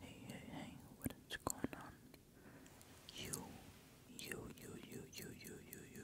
Hey, hey, hey, what is going on? You, you, you, you, you, you, you, you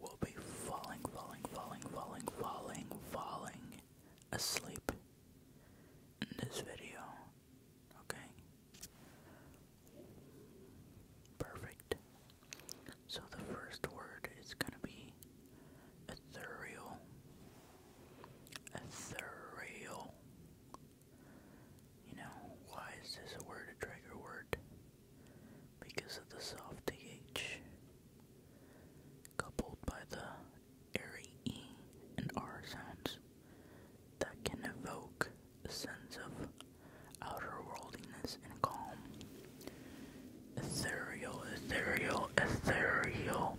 will be falling, falling, falling, falling, falling, falling asleep in this video. Okay? Perfect. So the first word is gonna be ethereal. Ethereal. You know, why is this a word a trigger word? Because of the soft TH coupled by the airy E and R sounds that can evoke a sense of outer worldliness and calm. Ethereal, ethereal, ethereal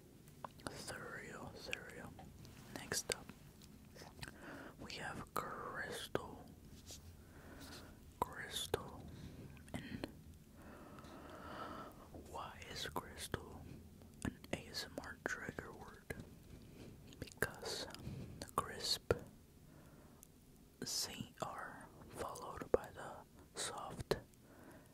Cereal, cereal. Next up, we have Crystal. Crystal. And why is Crystal an ASMR trigger word? Because the crisp CR followed by the soft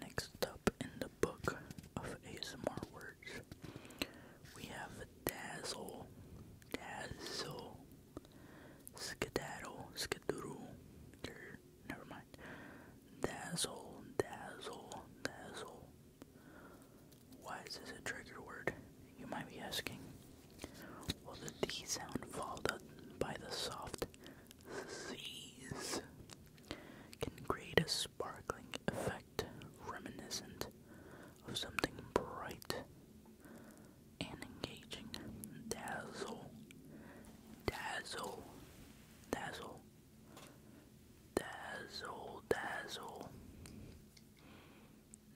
Next up in the book of ASMR words, we have dazzle, dazzle, skedaddle, skedoodle, er, never mind, dazzle, dazzle, dazzle. Why is this a trigger word? You might be asking. Well, the D sound followed by the soft Z's can create a sparkling effect reminiscent of something bright and engaging. dazzle, dazzle, dazzle, dazzle,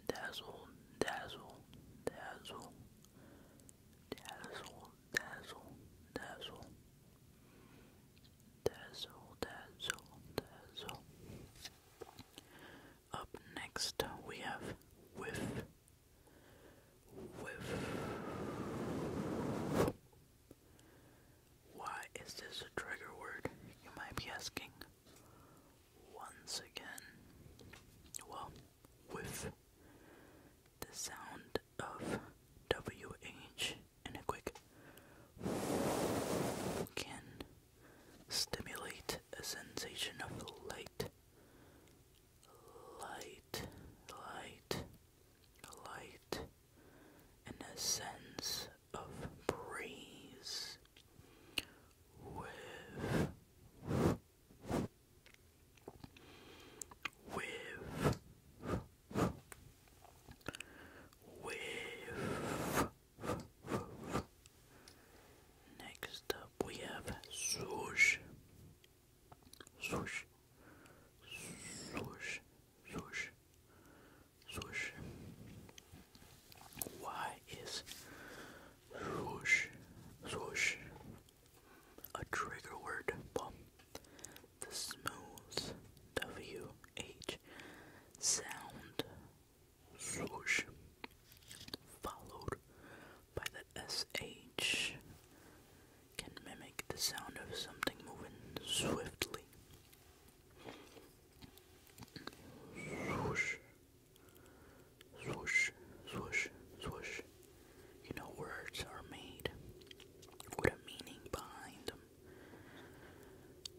dazzle, dazzle, dazzle, Dazzle, dazzle, dazzle. Dazzle, dazzle, dazzle. Up next, we have whiff, whiff. Why is this a trigger word? You might be asking. Once again, well, whiff the sound of WH and a quick can stimulate a sensation of light, light, light, light, and a sense of breeze with with next up we have swoosh swoosh swoosh swoosh swoosh why is swoosh swoosh a trigger word The smooth WH sound swoosh, followed by the SH, can mimic the sound of something moving swiftly. Swoosh, Swoosh, swoosh, swoosh. You know, words are made with a meaning behind them.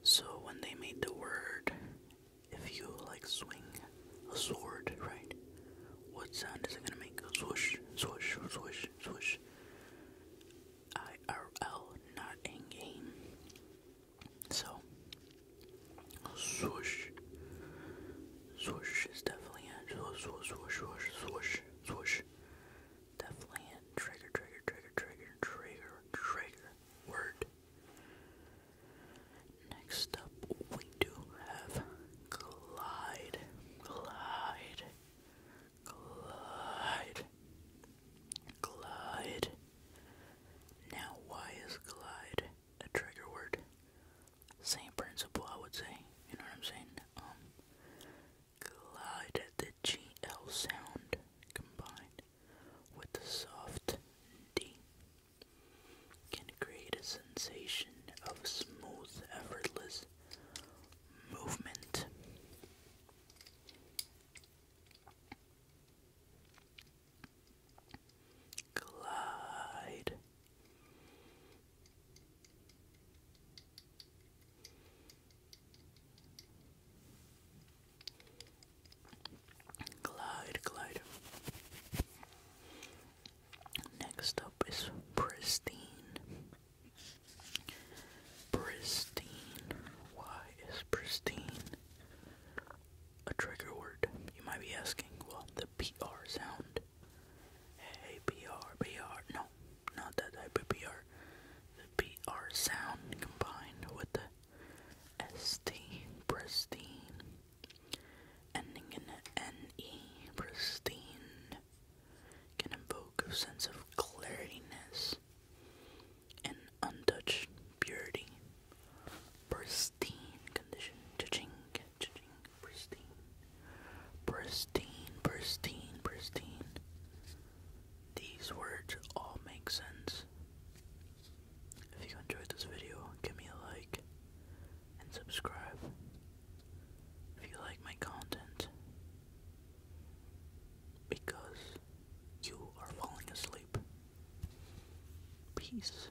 So when they made the word, if you like swing a sword, right? What sound is it gonna make? Swoosh, swoosh, swoosh, swoosh. IRL, not in game. So, swoosh, Swish is definitely a swish swish swish swish swish swoosh. Definitely in. Trigger, trigger, trigger, trigger, trigger, trigger. Word. Next up, we do have glide, glide, glide, glide. Now, why is glide a trigger word. Same principle, I would say. You know what I'm saying? glide um, the GL sound combined with the soft D can create a sensation of smooth, effortless movement. Glide. Glide, glide. Next up is pristine. Pristine. Why is pristine a trigger word? You might be asking. Well, the PR sound it. APR, BR, no, not that type of BR. The BR sound combined with the ST, pristine, ending in an NE, pristine, can invoke a sense of clariness and untouched purity. Pristine pristine condition. pristine. Pristine, pristine, pristine. These words all make sense. If you enjoyed this video, give me a like and subscribe. If you like my content, because you are falling asleep. Peace.